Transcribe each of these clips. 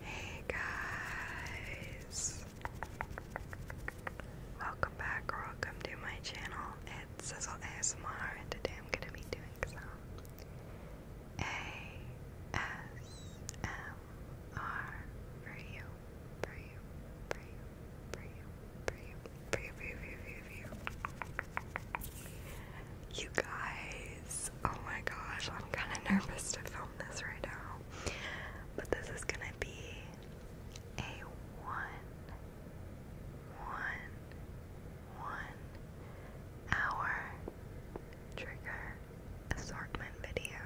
Hey guys! Welcome back or welcome to my channel. It's Sizzle ASMR and today I'm gonna be doing some ASMR for you. For you, for you, for you, for you, for you, for you, for you, for you, You guys, oh my gosh, I'm kinda nervous to film this right now. But this is gonna be a one, one, one hour trigger assortment video.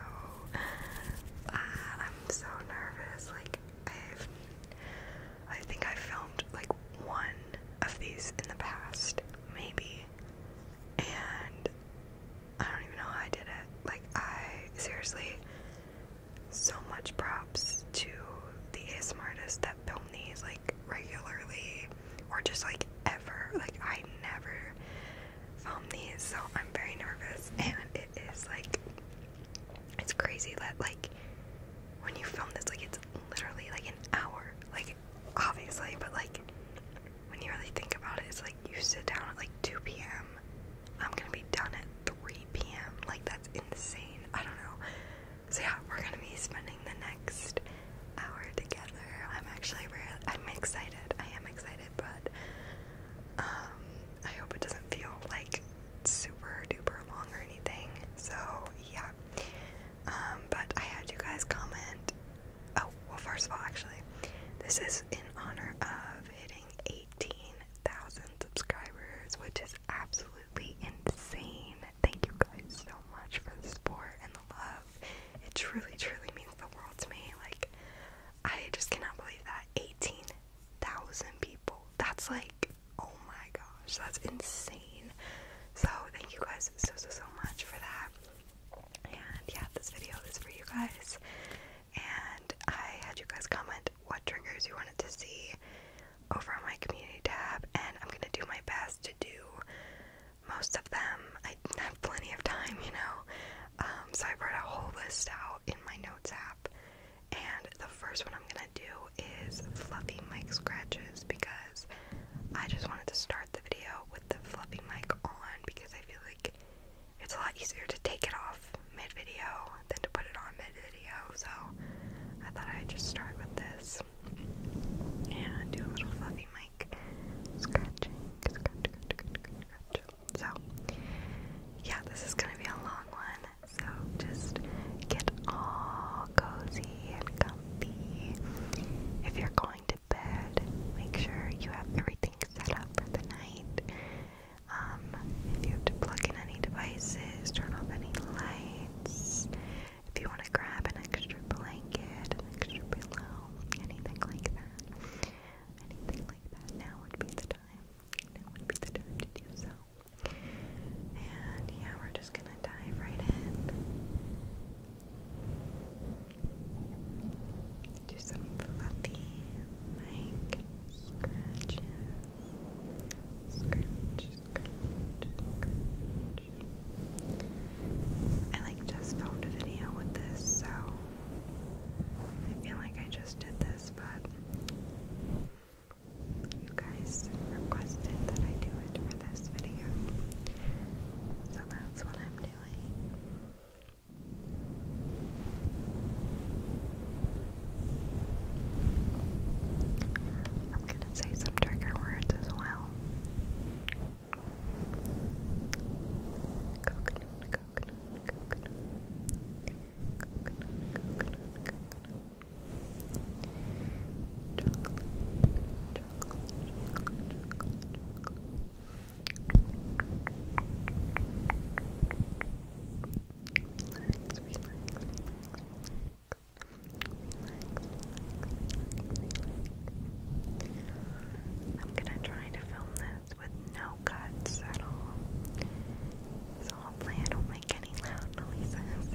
Ah, I'm so nervous. Like I've, I think I filmed like one of these in the past, maybe and I don't even know how I did it. Like, I seriously, so much props to the ASM artists that film these like regularly or just like ever. Like, I never film these, so I'm very nervous, and it is like it's crazy that like when you film this, like it's literally like an hour. Like obviously, but like when you really think about it, it's like you sit down at like 2 p.m. I'm gonna be done at 3 p.m. Like that's insane. I don't know. So yeah, we're gonna be spending the next hour together. I'm actually really, I'm excited. I am excited, but um, I hope it doesn't feel like super duper long or anything. So yeah. Um, but I had you guys comment Oh, well, first of all, actually, this is in honor of hitting 18,000 subscribers, which is absolutely insane. Thank you guys so much for the support and the love. It truly, truly means the world to me. Like, I just cannot believe that 18,000 people. That's like, oh my gosh, that's insane. So, thank you guys so, so, so much for that. And yeah, this video is for you guys. And I had you guys comment what triggers you wanted to see over on my community tab, and I'm gonna do my best to do most of them. I have plenty of time, you know. Um, so I wrote a whole list out in my notes app, and the first one I'm gonna do is fluffy Mike scratches because I just wanted to start the video with the fluffy mic on because I feel like it's a lot easier to take it off mid video than to put it on mid video. So I thought I'd just start with this and do a little fluffy mic So yeah, this is gonna be a long one. So just get all cozy and comfy. If you're going to to bed, make sure you have everything set up for the night. Um, if you have to plug in any devices, turn off any lights. If you want to grab an extra blanket, an extra pillow, anything like that, anything like that, now would be the time. Now would be the time to do so. And yeah, we're just gonna dive right in. Do some fluffy, like scratches. Scratch, scratch, scratch. I like just filmed a video with this, so I feel like I just did this, but you guys requested that I do it for this video. So that's what I'm doing doing. I'm going to say some trigger words as well. Relax, relax, I'm gonna try to film this with no cuts at all. So hopefully I don't make any loud noises.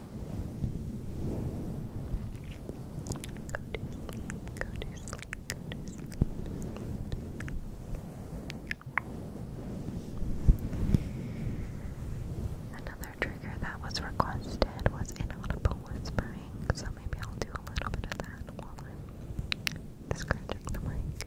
to sleep, Another trigger that was requested was inaudible whispering, so maybe I'll do a little bit of that while I'm scratching the mic.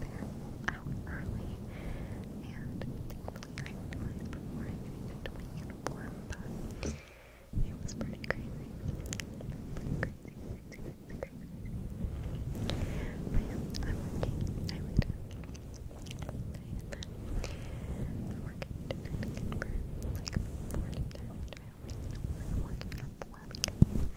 They're early, and thankfully I realized before I could even do my uniform, but it was pretty crazy. Pretty crazy, crazy, crazy, crazy. But I'm working. I would. Okay, I'm working I'm working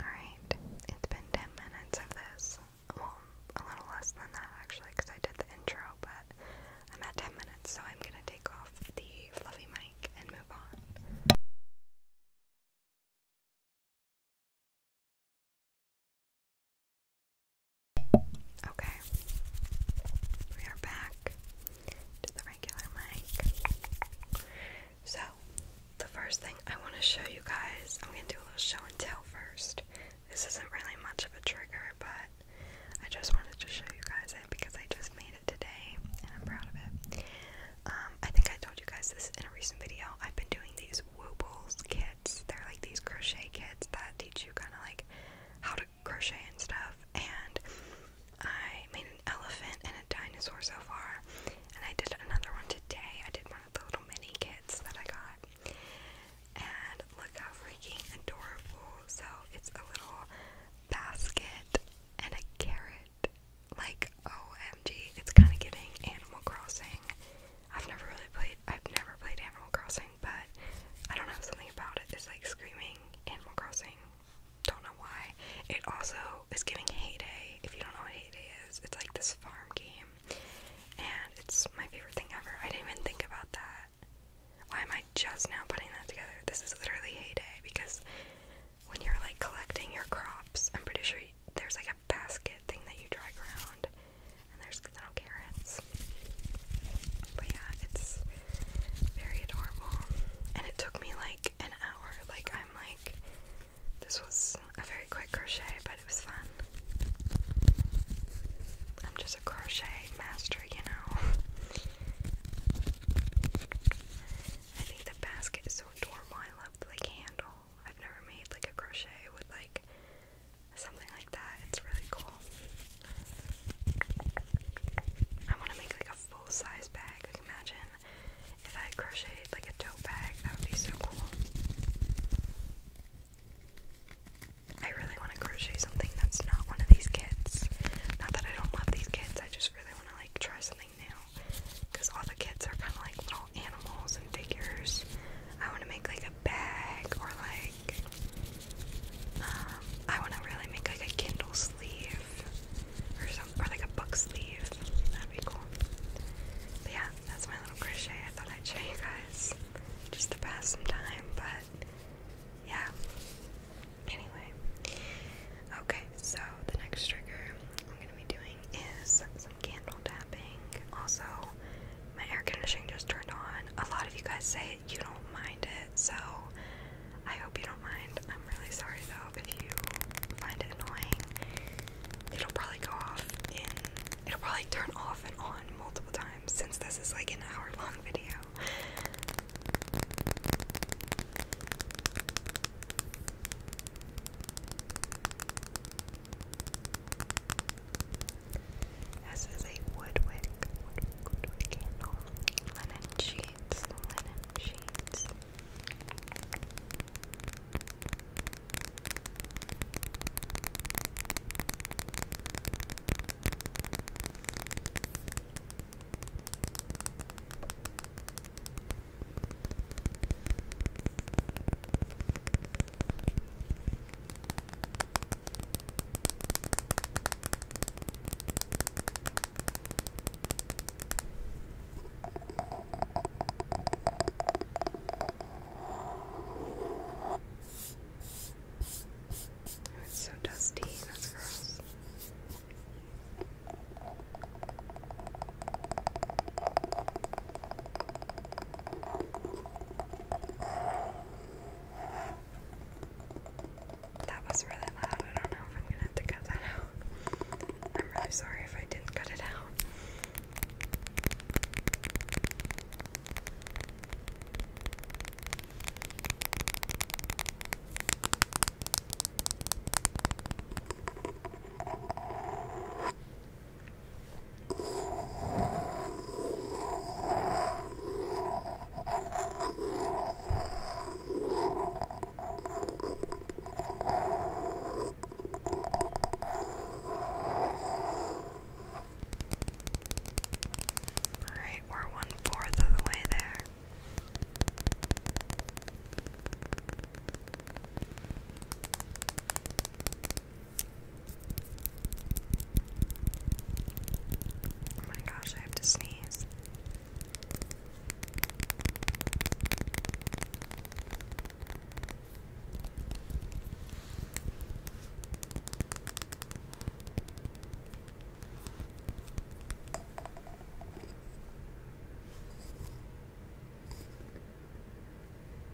Alright, it's been 10 minutes of this. Well, a little less than that actually, because I did the intro, but I'm at 10 minutes, so I'm gonna take off the fluffy mic and move on. Okay, we are back to the regular mic. So, the first thing I want to show you guys, I'm going to do a little show and tell first. This isn't really much of a trigger, but I just wanted to show you guys it because I just made it today and I'm proud of it. Um, I think I told you guys this in a recent video. I've been doing these Woobles kit they're like these crochet kits that teach you kind of like how to crochet and stuff. And I made an elephant and a dinosaur so far. And I did another one today. I did one of the little mini kits that I got. And look how freaking adorable. So it's a little basket and a carrot. Like, OMG, it's kind of getting Animal Crossing I've never really played I've never played Animal Crossing, but I don't know something about it. it is like screaming Animal Crossing. Don't know why. It also is giving Heyday. If you don't know what Heyday is, it's like this farm game, and it's my favorite thing ever. I didn't even think about that. Why am I just now putting that together? This is literally Heyday because when you're like collecting your crops, I'm pretty sure there's like a basket thing that you drag around, and there's little carrots. But yeah, it's very adorable. And it took me like an hour. Like, I'm like, this was a very quick crochet, but it was fun. I'm just a crochet master, you know. I think the basket is so adorable. I love the handle. I've never made like a crochet with like something like that. It's really cool. I want to make like a full size bag. imagine if I crocheted like a tote bag. That would be so cool. I really want to crochet something that's not one of these kits. Not that I don't love these kits, I just really want to like try something new. Because all the kits are kind of like little animals and figures. I want to make like a bag or like um, I want to really make like a Kindle sleeve or something or like a book sleeve. That'd be cool. But yeah, that's my little crochet. I thought I'd show you guys just to pass some time, but yeah. Anyway, okay, so the next trigger I'm gonna be doing is candle tapping. Also, my air conditioning just turned on. A lot of you guys say you don't mind it, so I hope you don't mind. I'm really sorry though if you find it annoying. It'll probably go off it'll probably turn off and on multiple times since this is like an hour long video. This is a woodwick, woodwick, candle. Linen sheets, linen sheets. It's so dusty, that's gross. That was really loud. I don't know if I'm gonna have to cut that out. I'm really sorry if I didn't cut it out. Alright, we're one fourth of the way there. Oh my gosh, I have to sneeze.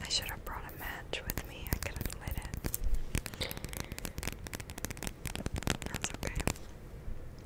I should have brought a match with me. I could have lit it. That's okay.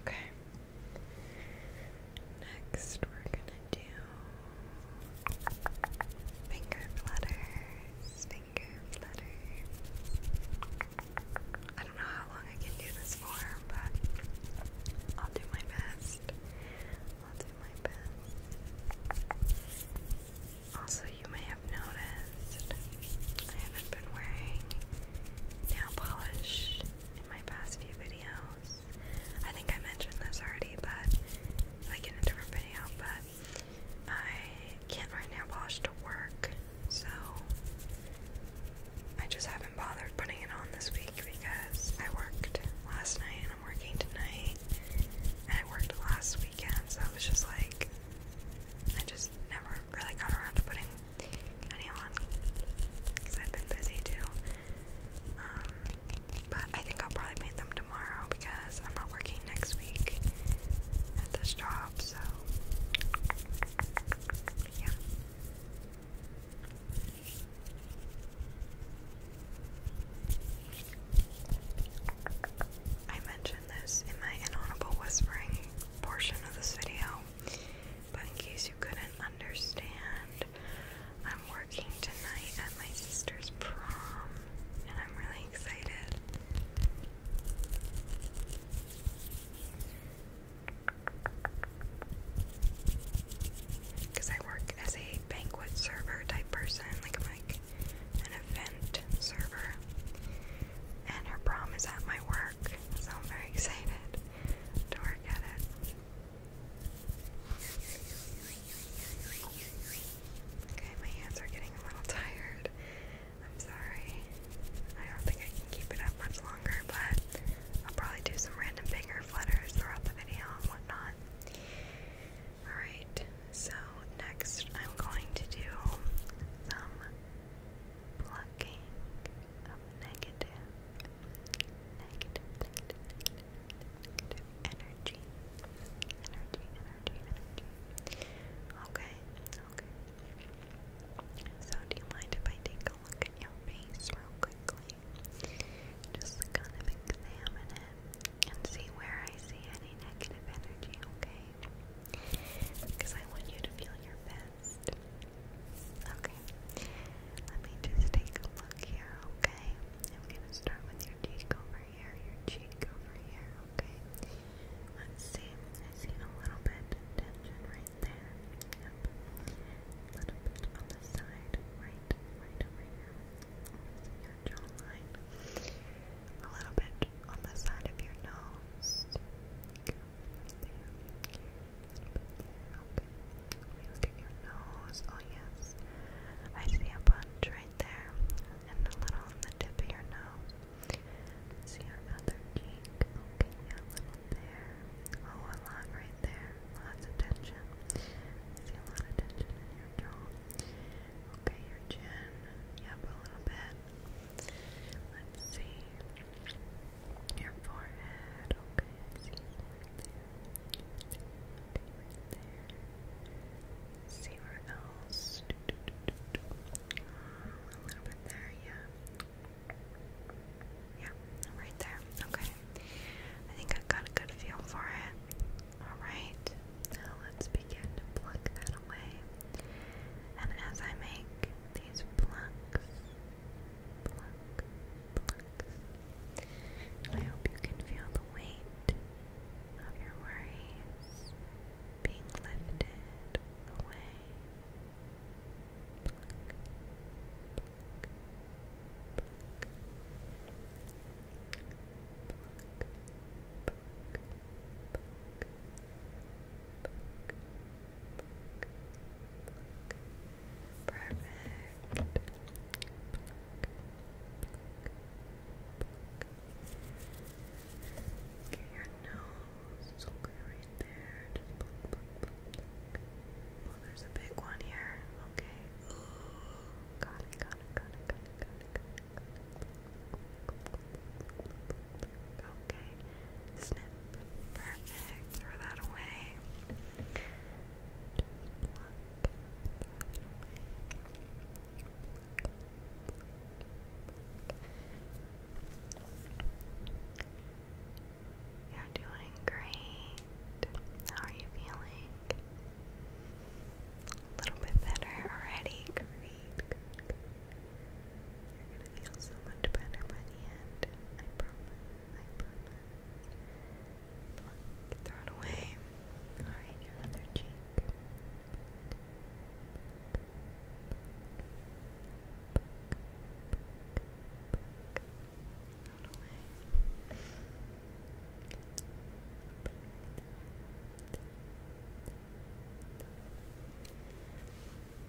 Okay. Next, we're gonna do finger flutters. Finger flutters. I don't know how long I can do this for, but I'll do my best. I'll do my best. Also, you may have noticed I haven't been wearing nail polish in my past few videos. I think I mentioned this already, but like in a different video, but I can't wear nail polish to work, so I just haven't bothered putting it on this week because I worked last night i working tonight, and I worked last weekend, so I was just like, I just never really got around to putting any on because I've been busy too. Um, but I think I'll probably make them tomorrow because I'm not working next week at this job, so yeah. I mentioned this in my inaudible whispering portion of this video, but in case you couldn't understand, I'm working tonight at my sister's prom, and I'm really excited. Because I work as a banquet server type person, like I'm like an event server. And her prom is at my work, so I'm very excited to work at it. Okay, my hands are getting a little tired. I'm sorry. I don't think I can keep it up much longer, but I'll probably do some random finger flutters throughout the video and whatnot. Alright, so next I'm going to do some plucking of negative, negative, negative, negative, energy. Okay, okay. So, do you mind if I take a look at your face real quickly? Just kind of examine it and see where I see any negative energy, okay? Because I want you to feel your best. Okay. Let me just take a look here, okay? I'm gonna start with your cheek over here, your cheek over here, okay? Let's see. I see a little bit of tension right there. Yep. A little bit on the side, right, right over here a little bit on the side of your nose. Okay. Let me look at your nose. Oh yes, I see a bunch right there, and a little on the tip of your nose. See your cheek. Okay, yeah, a little there. Oh, a lot right there. Lots of tension. see a lot of tension in your jaw. Okay, your chin. Yep, a little bit. Let's see. Your forehead. Okay, see right there. Okay, right there. see where else. a little bit there, yeah. Yeah, right there. Okay. I think I got a good feel for it. Alright, now let's begin to pluck that away. And as I make these plucks, pluck, plucks, I hope you can feel the weight of your worries being lifted away. Perfect. Get your nose right there. Just there's a big one here. Okay. Ooh. got it, got it, got it, got it, got it. Okay. Snip. Perfect. Throw that away. You're doing great. How are you feeling? a little bit better already. Great, You're gonna feel so much better by the end. throw it away. Alright, your other cheek.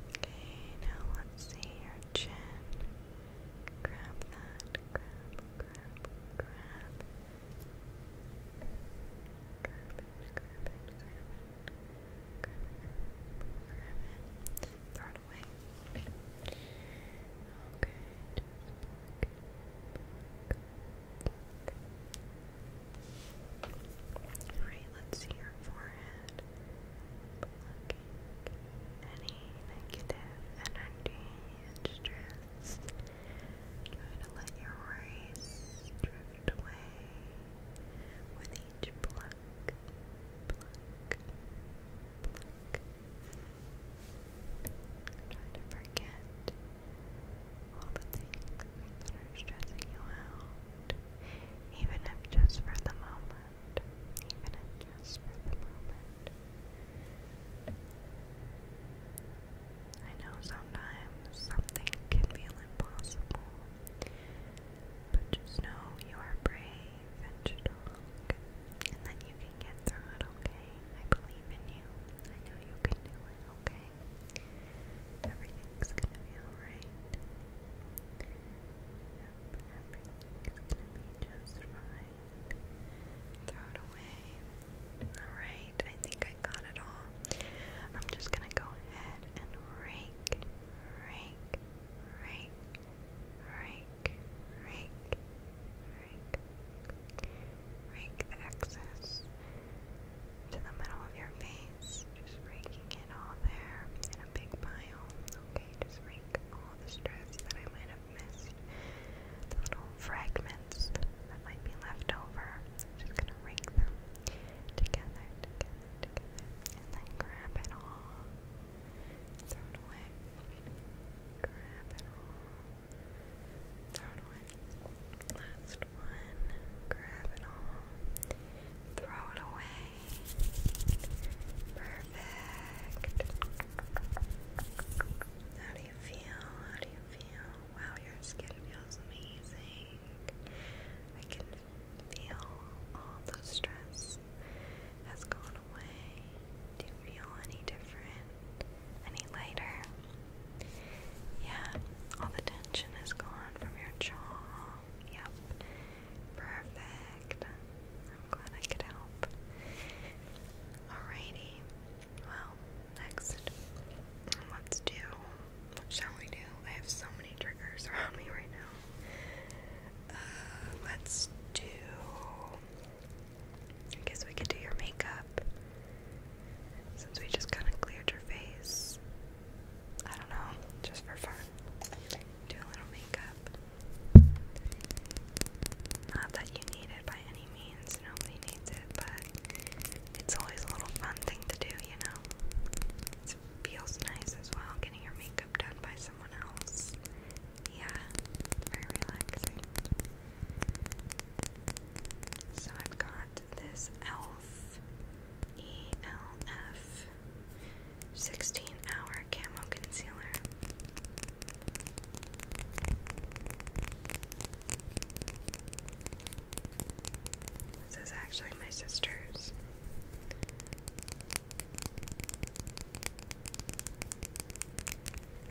Okay, now let's see your chin. Grab that. Grab, grab, grab. Grab grab grab Grab Throw it away. Okay, just pluck, Alright, let's see your forehead. Blocking any negative energy and stress. Try to let your worries drift away with each pluck, pluck, pluck. Try to forget even if just for the moment, even if just for the moment. I know sometimes something can feel impossible, but just know you are brave and strong and that you can get through it, okay? I believe in you. I know you can do it, okay? Everything's gonna be alright. everything's gonna be just fine. Throw it away. Alright, I think I got it all. I'm just gonna go ahead and rake, rake, rake, rake, rake, Rake. Rake the excess to the middle of your face. Just raking it all there in a big pile. Okay, just rake all the stress that I might have missed. The little fragments that might be left over. just gonna rake them together, together. And then grab it all. Throw it away. Grab it all. Third one. Last one. Grab it all. Throw it away. Perfect. How do you feel? How do you feel? Wow, your skin feels amazing. I can feel all the stress has gone away. Do you feel any different? Any lighter? Yeah, all the tension is gone from your jaw. Yep. Perfect. I'm glad I could help. Alrighty. Well, next, let's do. What shall we do? I have so many triggers around me right now. Uh, let's do. I guess we could do your makeup. Since we just kind of cleared your face. I don't know, just for fun. Do a little makeup. Not that you need it by any means, nobody needs it, but it's always a little fun thing to do, you know? feels nice as well getting your makeup done by someone else. Yeah, very relaxing. So I've got this ELF 16 hour camo concealer. This is actually my sister's.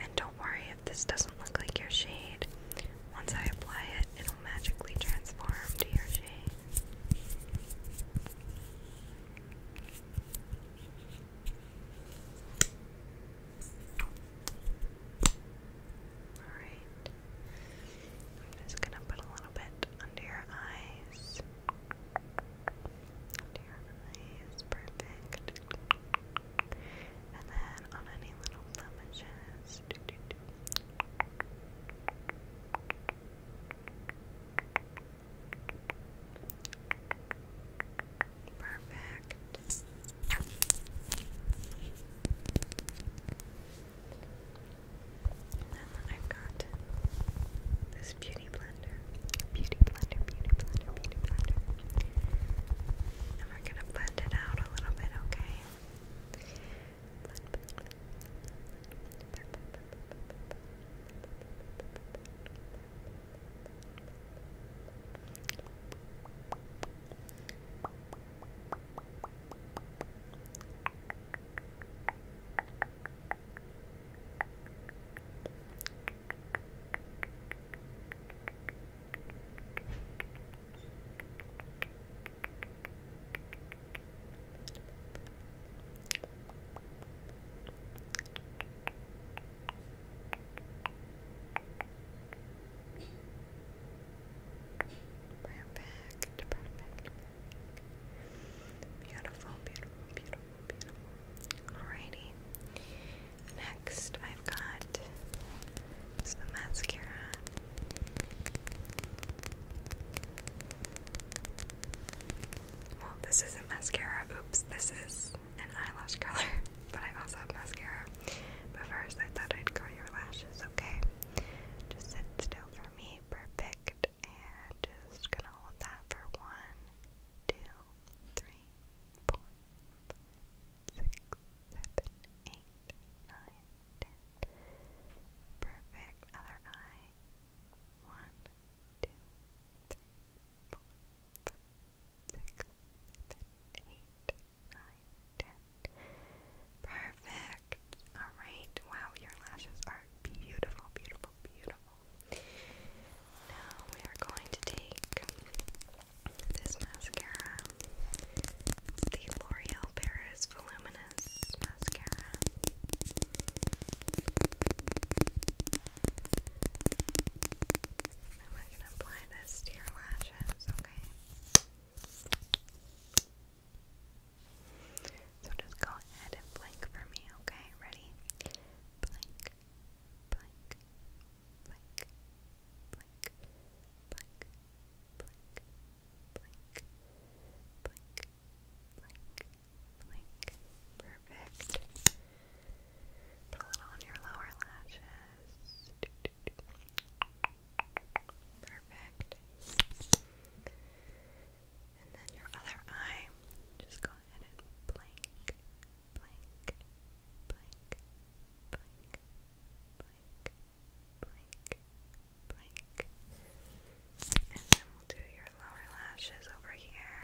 And don't worry if this doesn't look like your shade. Once I apply it, it'll magically transform to your shade. Alright. I'm just gonna put a little bit under your eyes. Under your eyes. Perfect. And then on any little blemishes. Perfect. And then I've got this beauty blender. Beauty blender, beauty blender, beauty blender and we're gonna blend it out a little bit, Okay. Perfect, perfect. Beautiful, beautiful, beautiful, beautiful. Next, I've got some mascara. Well, this isn't mascara. Oops, this is an eyelash curler. but I also have mascara. But first, I thought I'd curl your lashes, okay? Just sit still for me. Perfect. And just gonna hold that for one, two, three, four, five, six, seven, eight, nine, ten. Perfect. Other eye. One, two, three, four, five, six, seven, eight, nine, ten. Perfect. Alright. Wow, your lashes are beautiful, beautiful, beautiful. Now we are going to take this mascara. the L'Oreal Paris Voluminous Mascara. I'm going to apply this to your lashes, okay? So just go ahead and blink for me, okay? Ready? Blink, blink, blink, blink, blink, blink, blink, blink, blink, blink. Perfect. Put a little on your lower lashes. Perfect. And then your other eye, just go ahead and blink, blink, blink, blink, blink, blink, blink. And then we'll do your lower lashes over here.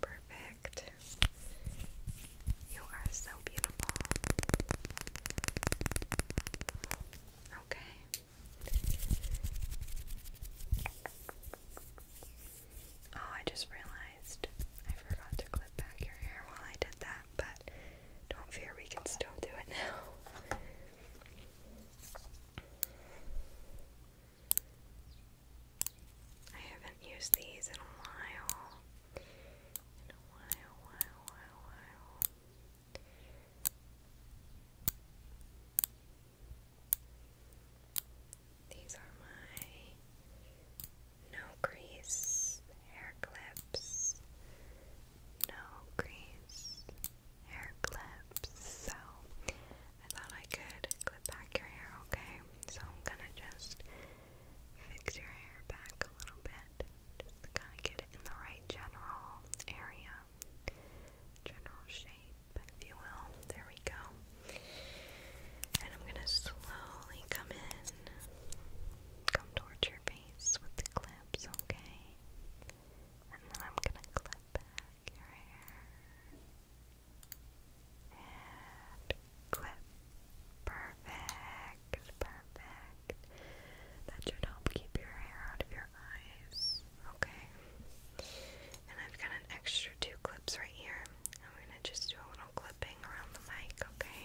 Perfect. You are so beautiful. Okay. Oh, I just realized I forgot to clip back your hair while I did that, but don't fear, we can still do it now. I haven't used these in a while. In a while, while, while, while. These are my no grease hair clips. No grease hair clips. So I thought I could clip back your hair, okay? So I'm gonna just fix your hair back a little bit. Just kind of get it in the right general area, general shape if you will. There we go. And I'm gonna slowly come in, come towards your face with the clips, okay? And then I'm gonna clip back your hair. clip. Perfect, perfect. That should help keep your hair out of your eyes, okay? And I've got an extra two clips right here. I'm going to just do a little clipping around the mic, okay? Okay,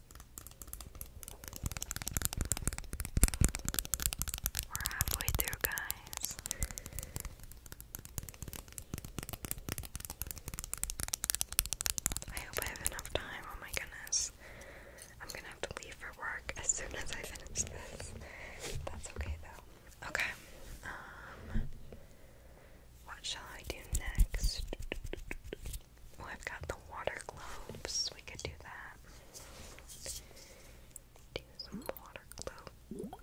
We're halfway through, guys. I hope I have enough time. Oh my goodness. I'm gonna have to leave for work as soon as I finish this. That's okay though. Okay. Um what shall I do next? Oh, have got the water globes. We could do that. Do some water globes.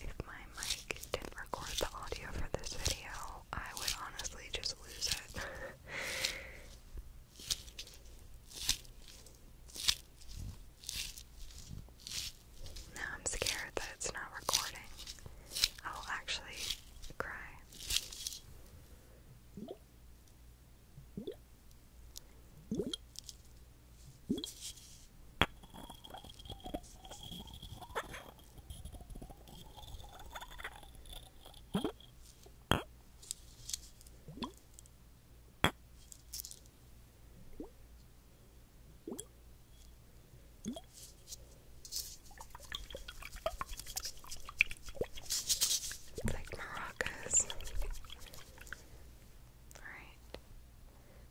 If my mic didn't record the audio for this video, I would honestly just lose it. Now I'm scared that it's not recording. I will actually cry like maracas. Alright.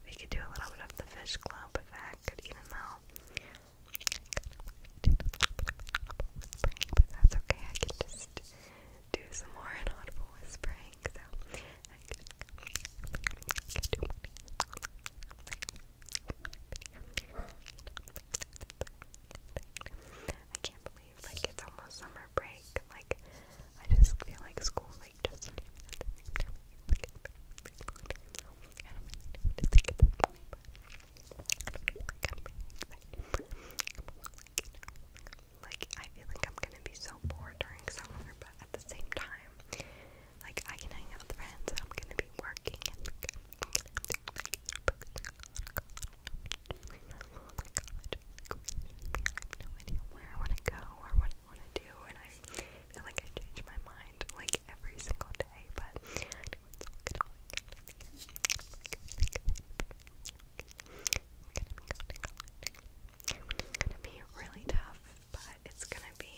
We could do a little bit of the fish club with that, even though that's okay. I can just do some more inaudible whispering. So I can't believe like it's almost summer break. Like I just feel like school like just like I feel like I'm gonna be so bored during summer, but at the same time, like, I can hang out with friends, I'm gonna be working, I have no idea where I wanna go, or what I wanna do, and I feel like I change my mind, like, every single day, but it's gonna be really tough, but it's gonna be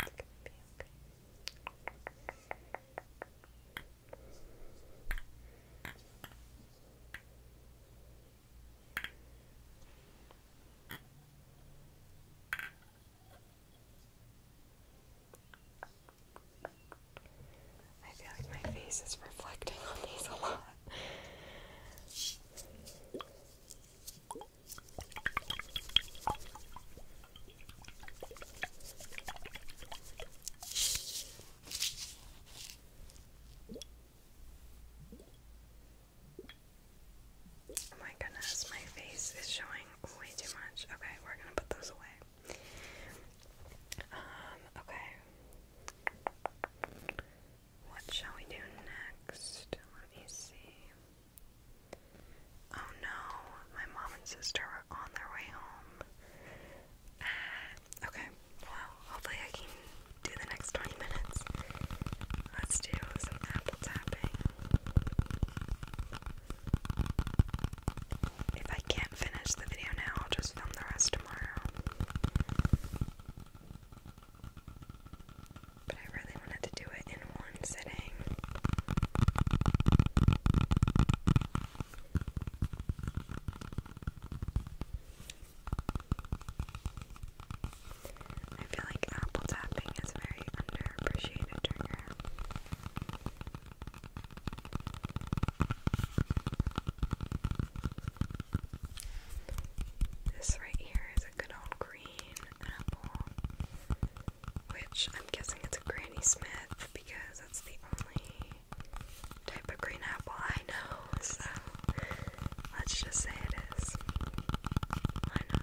I'm feel like my face is reflecting on these a lot. Oh my goodness, my face is showing way too much. Okay, we're gonna put those away. Um, okay. What shall we do next? Let me see. Oh no, my mom and sister are on their way home. Uh, okay, well, hopefully I can do the next 20 minutes. Let's do some apple tapping. If I can't finish the video now, I'll just film the rest tomorrow. But I really wanted to do it in one one sitting. I feel like apple tapping is very underappreciated This right here is a good old green apple, which I'm guessing it's a Granny Smith because that's the only type of green apple I know, so let's just say it is. Why not?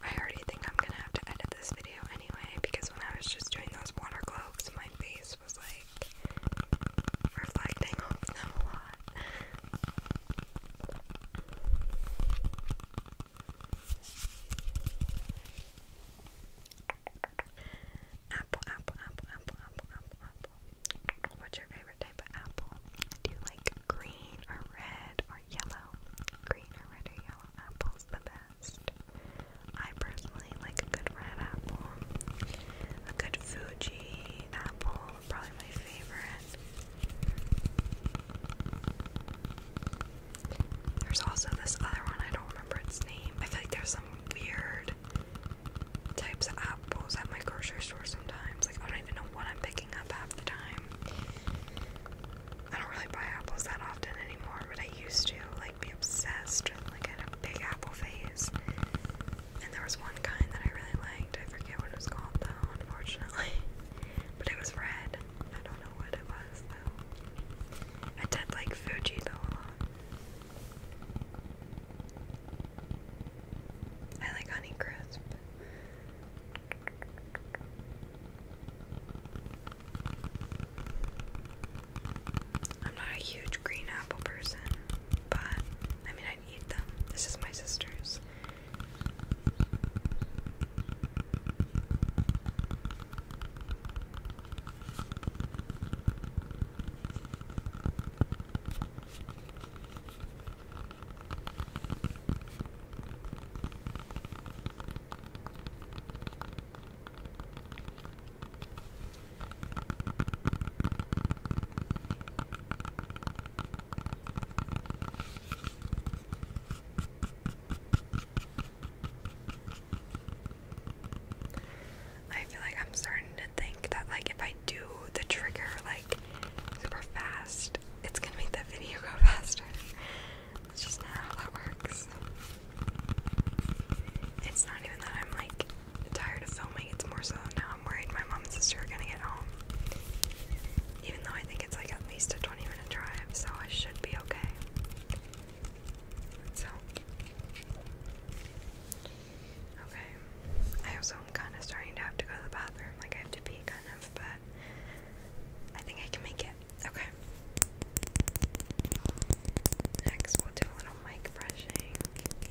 I already think I'm gonna have to edit this video anyway because when I was just doing those water globes, my face was like reflecting off them a lot. Apple, apple, apple, apple, apple, apple, apple. What's your favorite type of apple? Do you like green or red yellow. Green or red yellow apple's the best. I personally like a good red apple. A good Fuji apple, probably my favorite. There's also this other one, I don't remember its name. I feel like there's some weird types of apples at my grocery store sometimes. Like, I don't even know what I'm picking up half the time. I don't really buy apples that often anymore, but I used to like be obsessed with like had a big apple phase. And there was one kind that I really liked. I forget what it was called though, unfortunately. But it was red. I don't know what it was though. I did like Fuji though I like Honeycrisp. I'm not a huge green apple person, but I mean, I'd eat them. This is my sister's. I feel like I'm starting to think that like if I do the trigger like super fast, it's gonna make the video go faster. It's just not how that works. It's not even that I'm like tired of filming, it's more so now I'm worried my mom and sister are gonna get home. Even though I think it's like at least a 20 minute drive, so I should be okay. So, okay. I also am kind of starting to have to go to the bathroom, like I have to pee kind of, but I think I can make it. Okay. Next, we'll do a little mic brushing. Okay.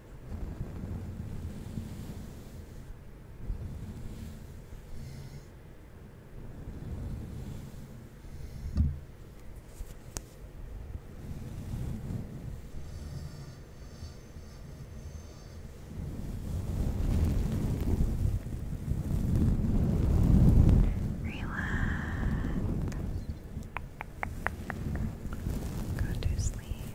Relax. Go to sleep.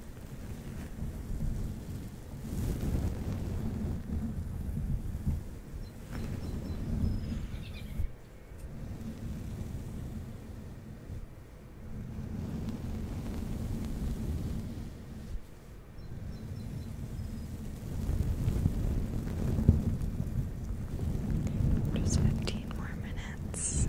Just fifteen more minutes.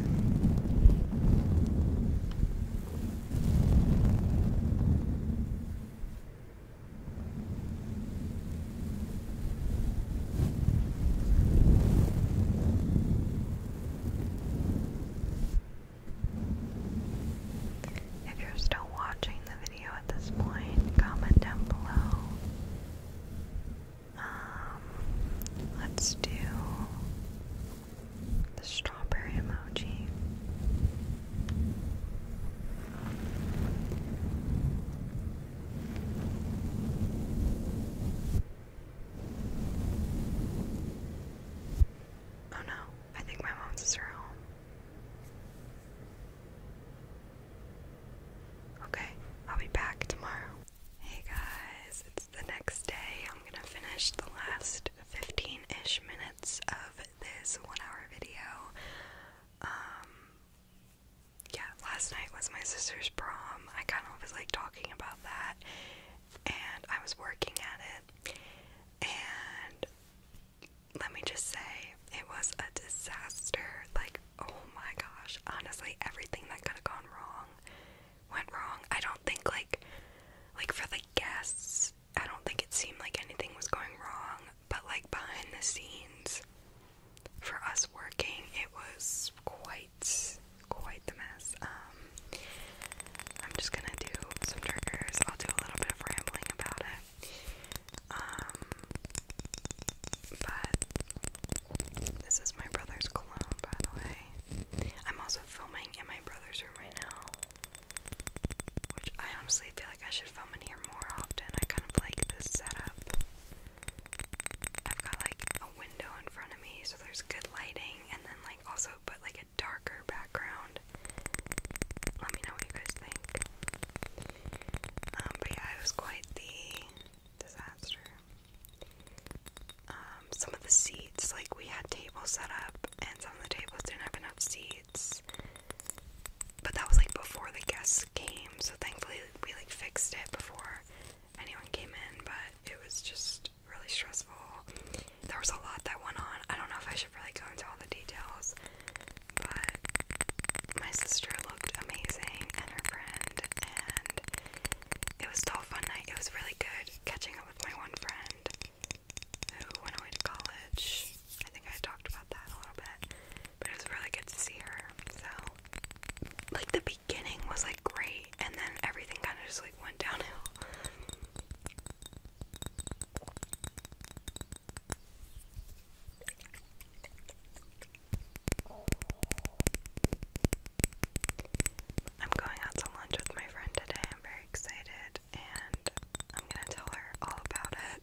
If you're still watching the video at this point, comment down below. Um, let's do the strawberry emoji. Oh no, I think my monsters are home. Okay, I'll be back tomorrow. Hey guys, it's the next day. I'm gonna finish the last 15 ish minutes of this one hour video. Um, yeah, last night was my sister's prom. I kind of always like talking about that, and I was working at it. And let me just say, it was a disaster. Like, oh my gosh, honestly, everything that could have gone wrong went wrong. I don't think like like for the guests I don't think it seemed like anything was going wrong, but like behind the scenes for us working, it was quite quite the mess. Um I'm just gonna do some triggers. I'll do a little bit of rambling about it. Um but this is my brother's cologne by the way. I'm also filming in my brother's room right now. Which I honestly feel like I should film in here more often. I kind of like this setup. I've got like a window in front of me, so there's good lighting, and then like also put like a darker background. Let me know what you guys think. Um, but yeah, it was quite the disaster. Um, some of the sea like we had tables set up, and some of the tables didn't have enough seats. But that was like before the guests came, so thankfully we like fixed it before anyone came in. But it was just really stressful. There was a lot that went on. I don't know if I should really go into all the details, but my sister looked amazing and her friend, and it was still a fun night. It was really good catching up with my one friend who went away to college. I think I talked about that a little bit, but it was really good to see her. So, like, the beginning was like great, and then everything kind of just like went downhill. I'm going out to lunch with my friend today. I'm very excited, and I'm gonna tell her all about it.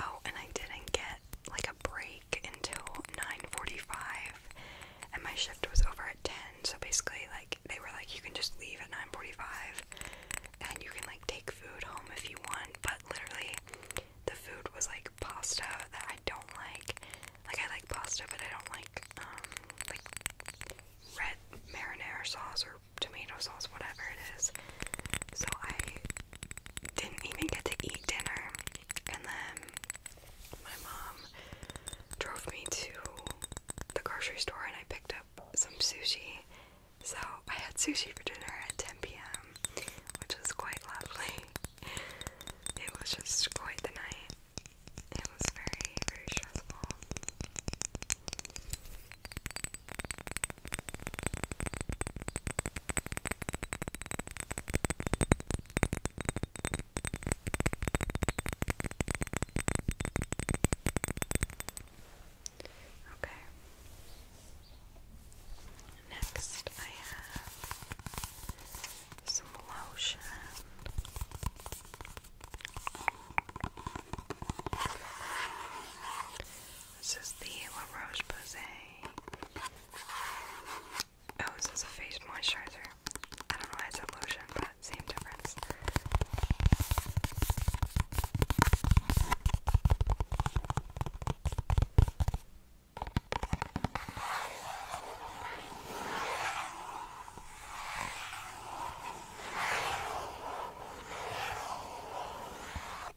Oh, and I didn't get like a break until 9:45 and my shift was over at 10. So basically like they were like you can just leave at 9:45 and you can like take food home if you want, but literally the food was like pasta that I don't like. Like I like pasta, but I don't like um, like red marinara sauce or tomato sauce, whatever it is. So I didn't even get to eat dinner. And then my mom drove me to the grocery store and I picked up some sushi. So I had sushi for dinner at 10 p.m., which was quite lovely. It was just quite the night. It was very, very stressful. Okay. Next, I have some lotion. This is the La Roche Posay. Oh, this is a face moisturizer. I don't know why it's a lotion, but same difference.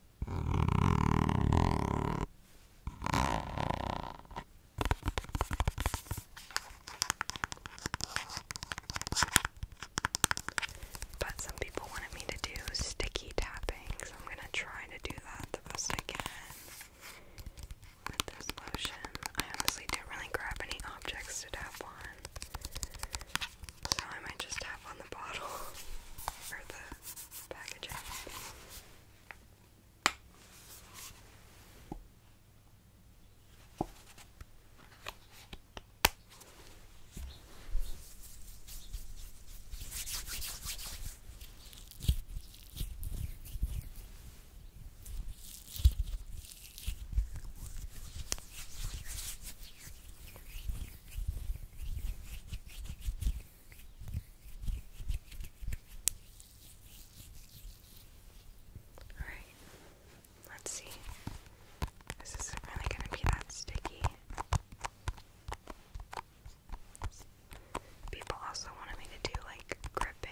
But some people wanted me to do sticky tapping, so I'm gonna try to do that the best I can with this lotion. I honestly didn't really grab any objects to tap on. So I might just tap on the bottle or the packaging. All right. Let's see. This isn't really going to be that sticky. People also wanted me to do like gripping.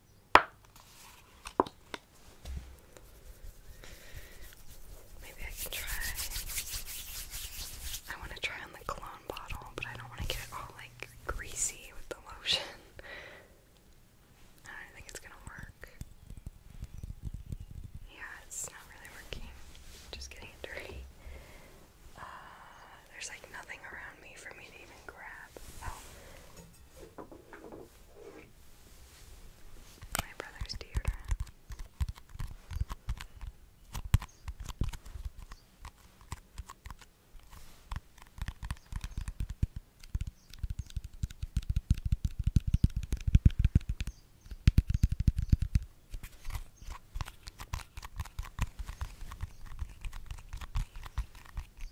Maybe I can try. I want to try on the cologne bottle, but I don't want to get it all like greasy with the lotion. I don't think it's gonna work. Yeah, it's not really working. Just getting dirty. Uh, there's like nothing around me for me to even grab up. Oh. My brother's deodorant. I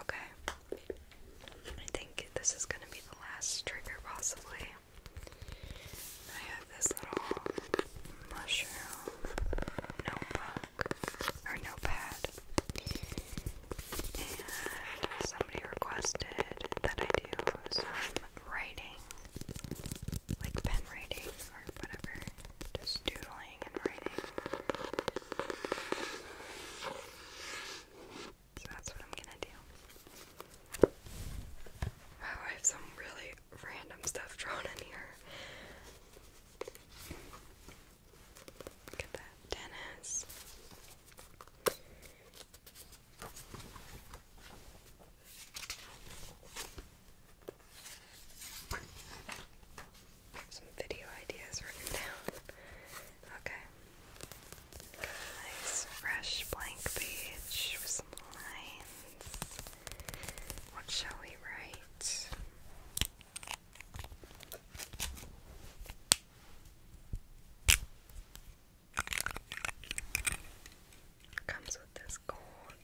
Okay. I think this is going to be the last trigger, possibly. I have this little mushroom notebook or notepad, and somebody requested that I do some writing, like pen writing or whatever, just doodling and writing. So that's what I'm gonna do. Oh, I have some really random stuff drawn in here. Look at that. Tennis. Some video ideas written down. Okay. nice fresh blank page with some lines. What shall we write? Comes with this gold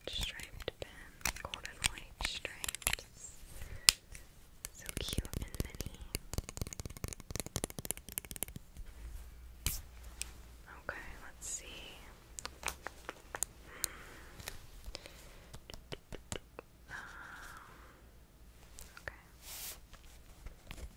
striped pen, gold and white stripes. So cute and mini. Okay, let's see. Hmm. Um, okay.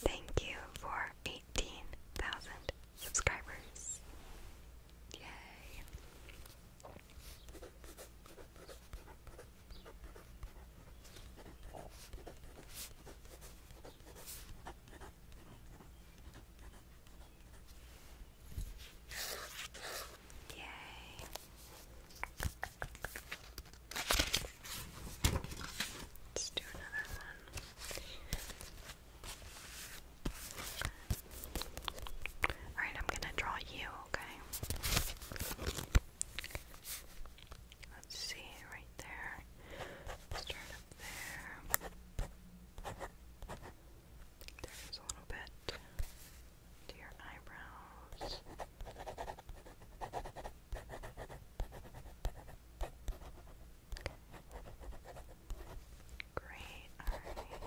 Thank you for 18,000 subscribers. Yay. Yay. Let's do another one. Alright, I'm gonna draw you, okay? Let's see, right there. Start up there. There's a little bit to your eyebrows. Great, alright.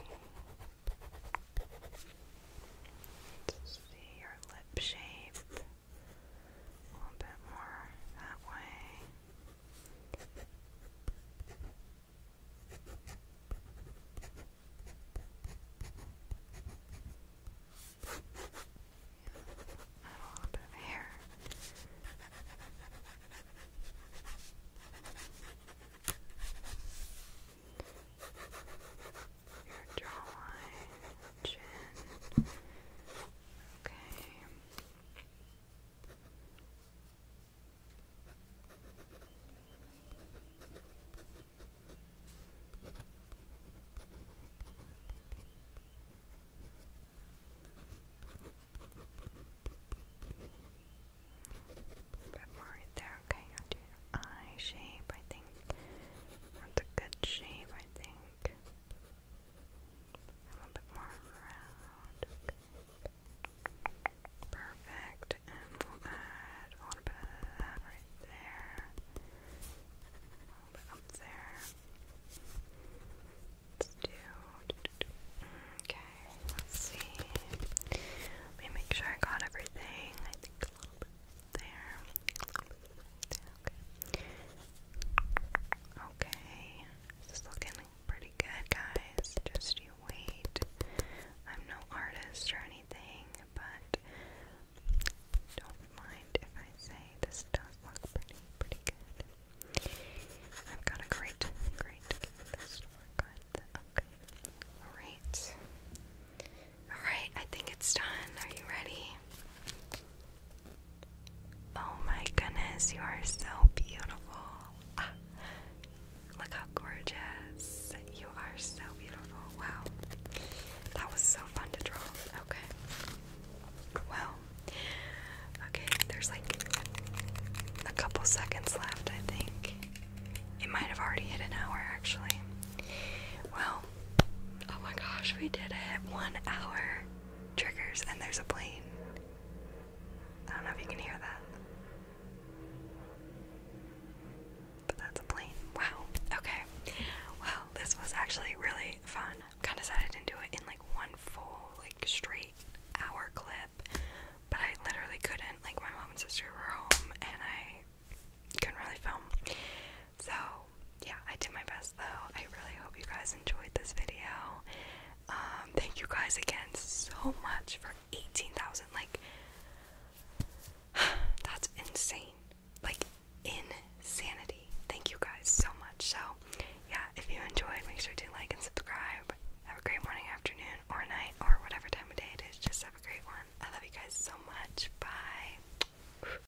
see your lip shape a little bit more that way. Yeah, a little bit of your jawline, chin. Okay. Bit more right there. Okay, eye shape. I think that's a good shape. I think. A little bit more round. Perfect. And we'll add a little bit of that right there. A little bit up there. Let's do. Okay, let's see. Let me make sure I got everything. I think a little there. Okay. Okay. looking pretty good, guys. Just you wait. I'm no artist or anything, but don't mind if I say this does look pretty, pretty good. I've got a great, great Alright. Alright, I think it's done. Are you ready? Oh my goodness, you are so beautiful. Ah, look how gorgeous. You are so beautiful. Wow. That was so fun to draw. Okay. Well, okay, there's like a couple seconds left, I think. It might have already hit an hour actually. Well, Oh my gosh, we did it. One hour triggers, and there's a plane. I don't know if you can hear that. But that's a plane. Wow. Okay. Well, this was actually really fun. Kind of sad I didn't do it in like one full, like straight hour clip, but I literally couldn't. Like, my mom and sister were home, and I couldn't really film. So, yeah, I do my best though. I really hope you guys enjoyed this video. Um, thank you guys again so much for 18,000. Like, that's insane. Like, insanity. Thank you guys so much. So, yeah, if you enjoyed, make sure to like and subscribe. Have a great morning, afternoon, or night, or whatever time of day it is. Just have a great one. I love you guys so much. Bye.